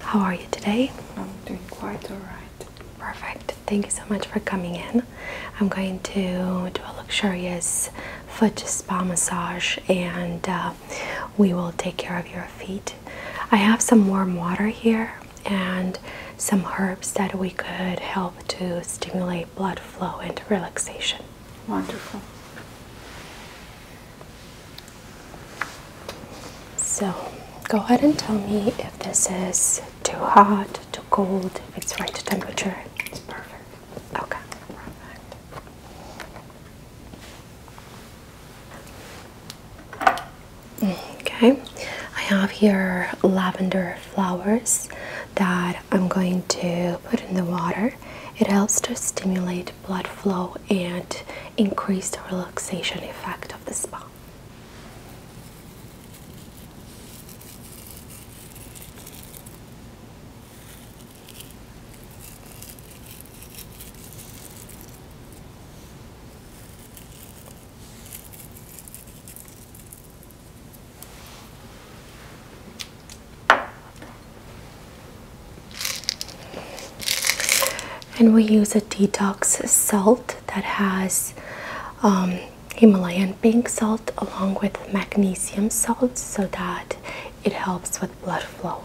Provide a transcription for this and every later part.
How are you today? I'm doing quite all right. Perfect. Thank you so much for coming in. I'm going to do a luxurious foot spa massage and uh, we will take care of your feet. I have some warm water here and some herbs that we could help to stimulate blood flow and relaxation. Wonderful. So, go ahead and tell me if this is too hot, too cold, if it's right temperature. It's perfect. Okay. Perfect. Okay, I have here lavender flowers that I'm going to put in the water. It helps to stimulate blood flow and increase the relaxation effect of the spa. And we use a detox salt that has um, Himalayan pink salt along with magnesium salts, so that it helps with blood flow.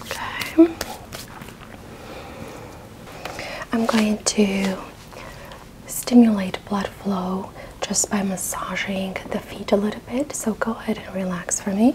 Okay. I'm going to stimulate blood flow just by massaging the feet a little bit. So go ahead and relax for me.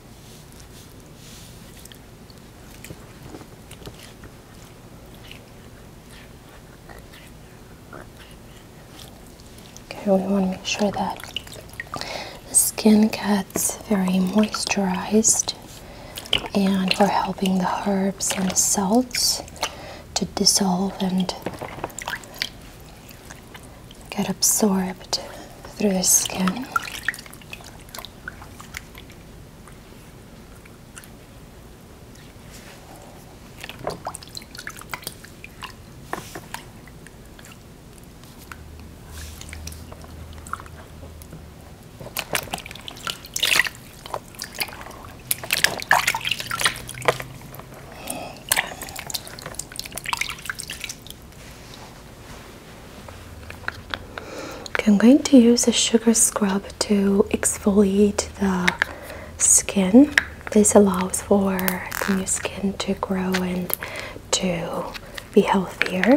Okay, we want to make sure that the skin gets very moisturized, and we're helping the herbs and the salts to dissolve and get absorbed through the skin. I'm going to use a sugar scrub to exfoliate the skin. This allows for the new skin to grow and to be healthier.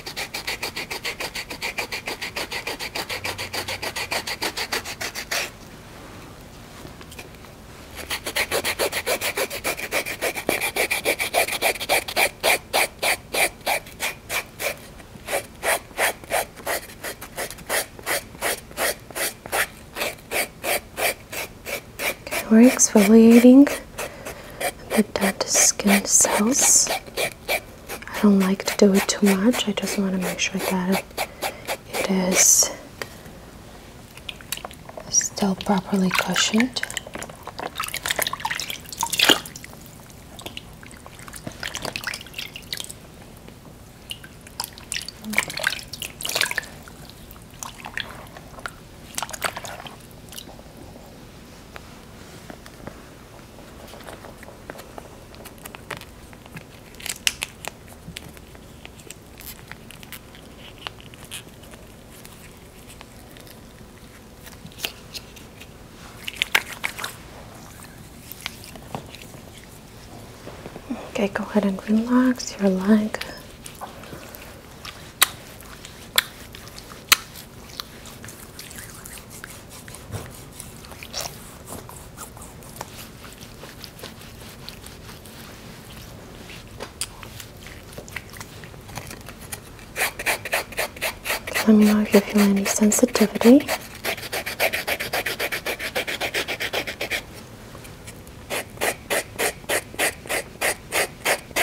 Okay, we're exfoliating the dead skin cells. I don't like to do it too much. I just want to make sure that it is still properly cushioned. Okay, go ahead and relax your leg. Let me know if you feel any sensitivity.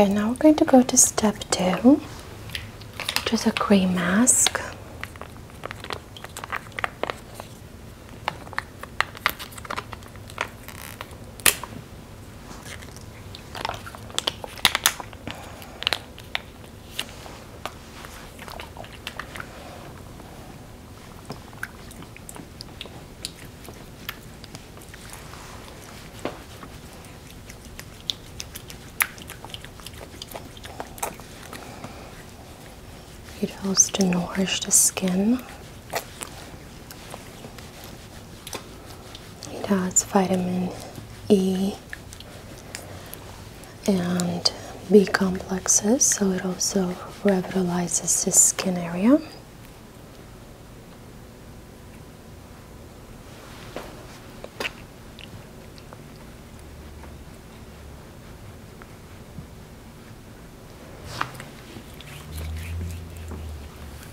Okay, now we're going to go to step two, which is a gray mask. It helps to nourish the skin. It has vitamin E and B complexes, so it also revitalizes the skin area.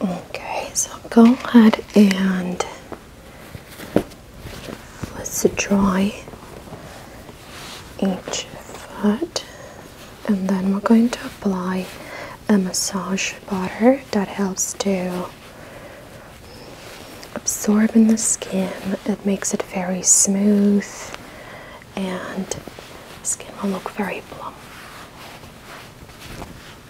Okay, so go ahead and let's dry each foot, and then we're going to apply a massage butter that helps to absorb in the skin. It makes it very smooth and skin will look very plump.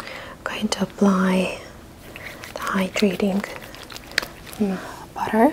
I'm going to apply the hydrating mm, butter.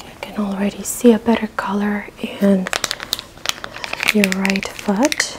I can already see a better color in your right foot.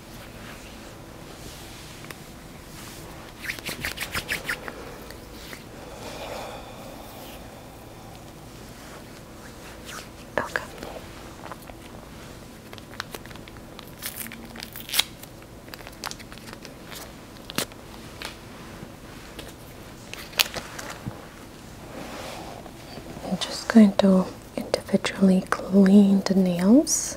Okay. I'm just going to individually cleaned nails.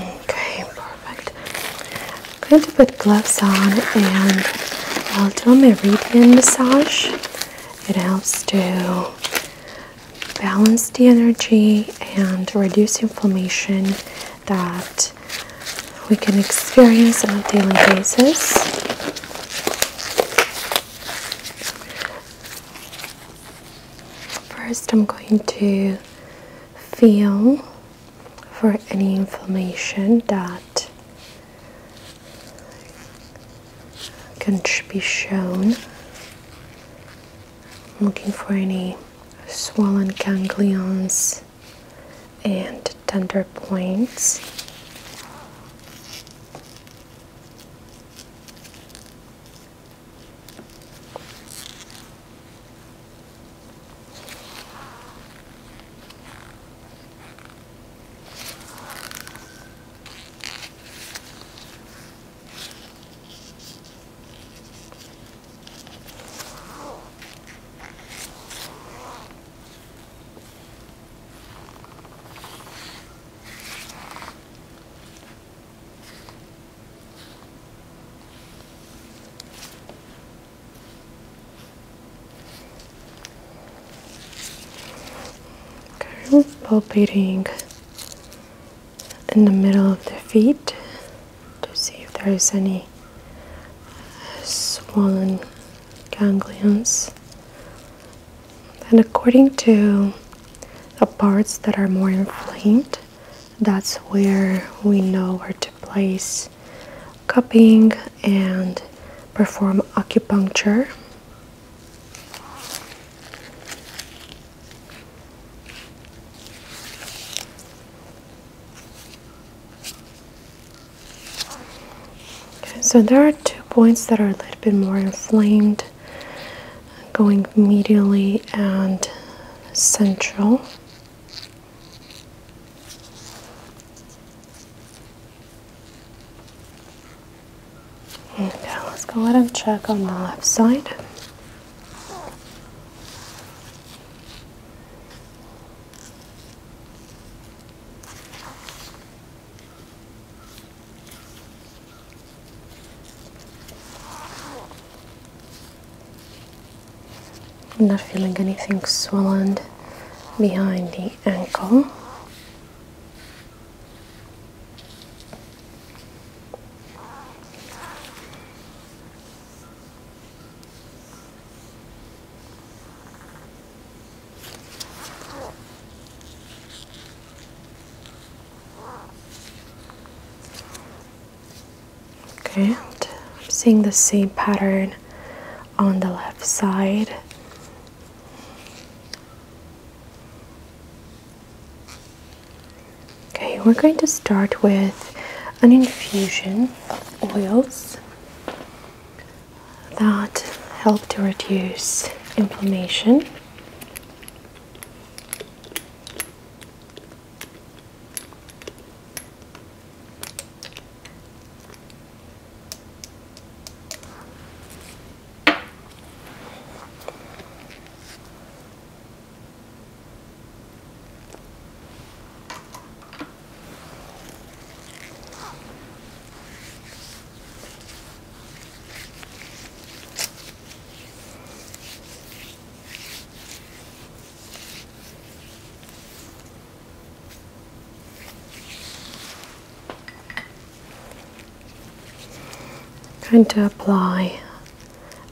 Okay, perfect. I'm going to put gloves on and I'll do a meridian massage. It helps to balance the energy and reduce inflammation that we can experience on a daily basis. First, I'm going to feel for any inflammation that can be shown I'm looking for any swollen ganglions and tender points palpating in the middle of the feet to see if there is any swollen ganglions. And according to the parts that are more inflamed, that's where we know where to place cupping and perform acupuncture so there are two points that are a little bit more inflamed going medially and central. Okay, let's go ahead and check on the left side. I'm not feeling anything swollen behind the ankle. Okay, I'm seeing the same pattern on the left side. Okay, we're going to start with an infusion of oils that help to reduce inflammation. Kind am to apply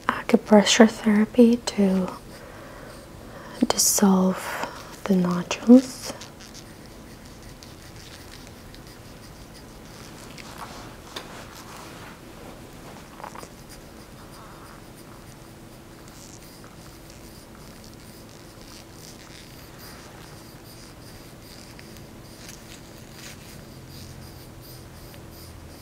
acupressure therapy to dissolve the nodules.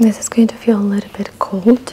This is going to feel a little bit cold.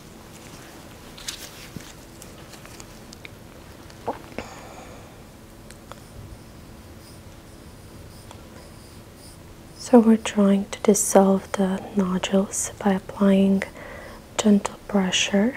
So we're trying to dissolve the nodules by applying gentle pressure.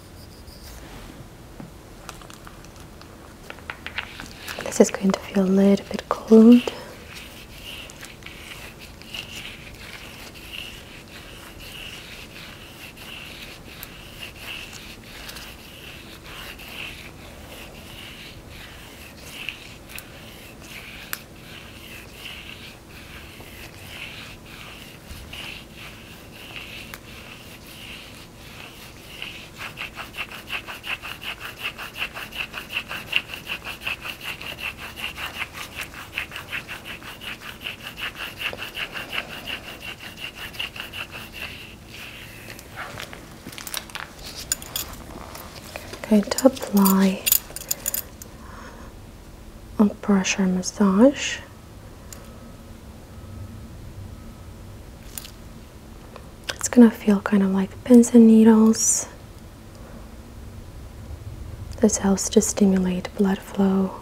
This is going to feel a little bit cold i going to apply a pressure massage it's gonna feel kind of like pins and needles. This helps to stimulate blood flow.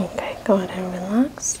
Okay, go ahead and relax.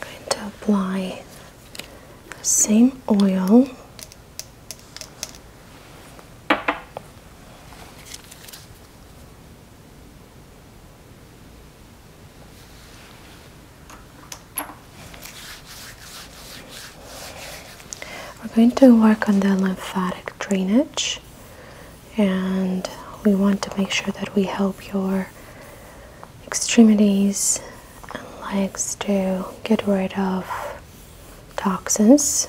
going to apply the same oil we're going to work on the lymphatic drainage, and we want to make sure that we help your extremities and legs to get rid of toxins.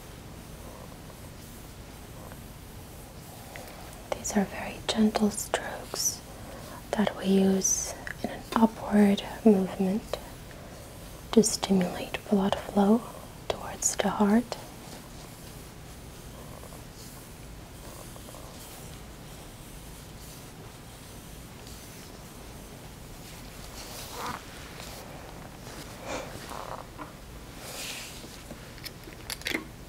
These are very gentle strokes that we use in an upward movement to stimulate blood flow towards the heart.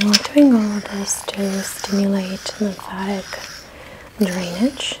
Okay, we're doing all this to stimulate lymphatic drainage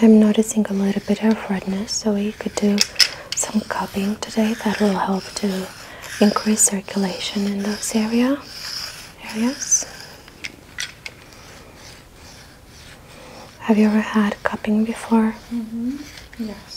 I'm noticing a little bit of redness, so we could do some cupping today that will help to increase circulation in those area areas. Have you ever had cupping before? Mm-hmm. Yes.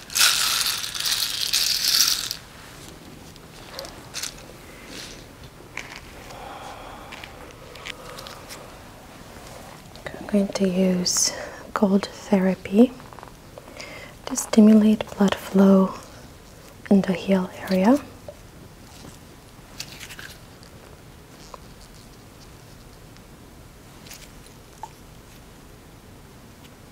I'm going to use cold therapy to stimulate blood flow in the heel area.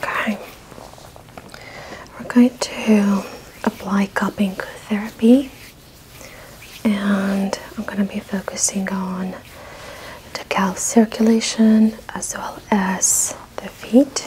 Okay, we're going to apply cupping therapy, and I'm going to be focusing on the calf circulation as well as the feet.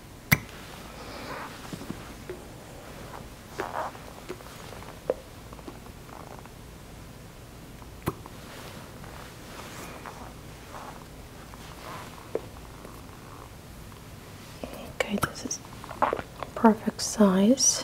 Okay, this is perfect size.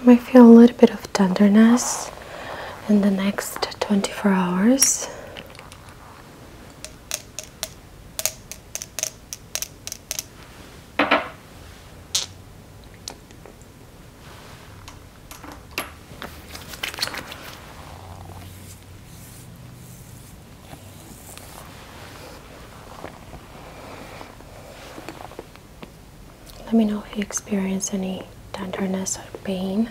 You might feel a little bit of tenderness in the next 24 hours. Let me know if you experience any tenderness or pain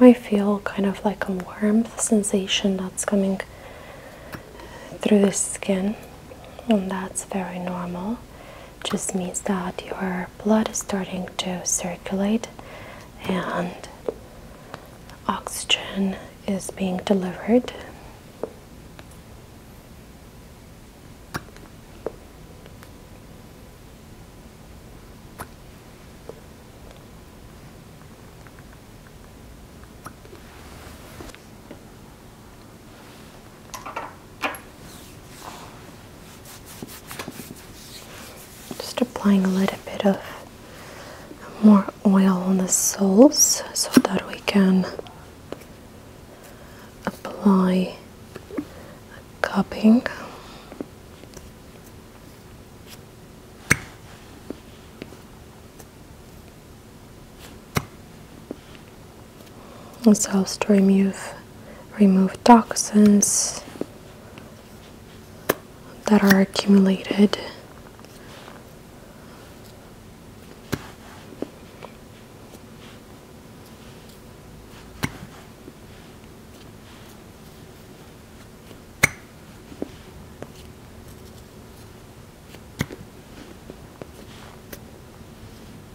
You might feel kind of like a warmth sensation that's coming through the skin, and that's very normal just means that your blood is starting to circulate and oxygen is being delivered. Just applying a little bit of more oil on the soles so that we can apply a cupping. This helps to remove remove toxins that are accumulated.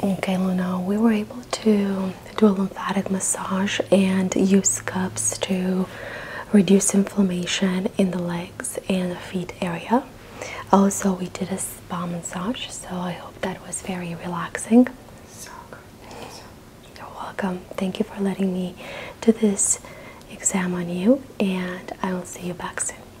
Okay, Luna, we were able to do a lymphatic massage and use cups to reduce inflammation in the legs and the feet area. Also, we did a spa massage, so I hope that was very relaxing. So You're welcome. Thank you for letting me do this exam on you, and I will see you back soon.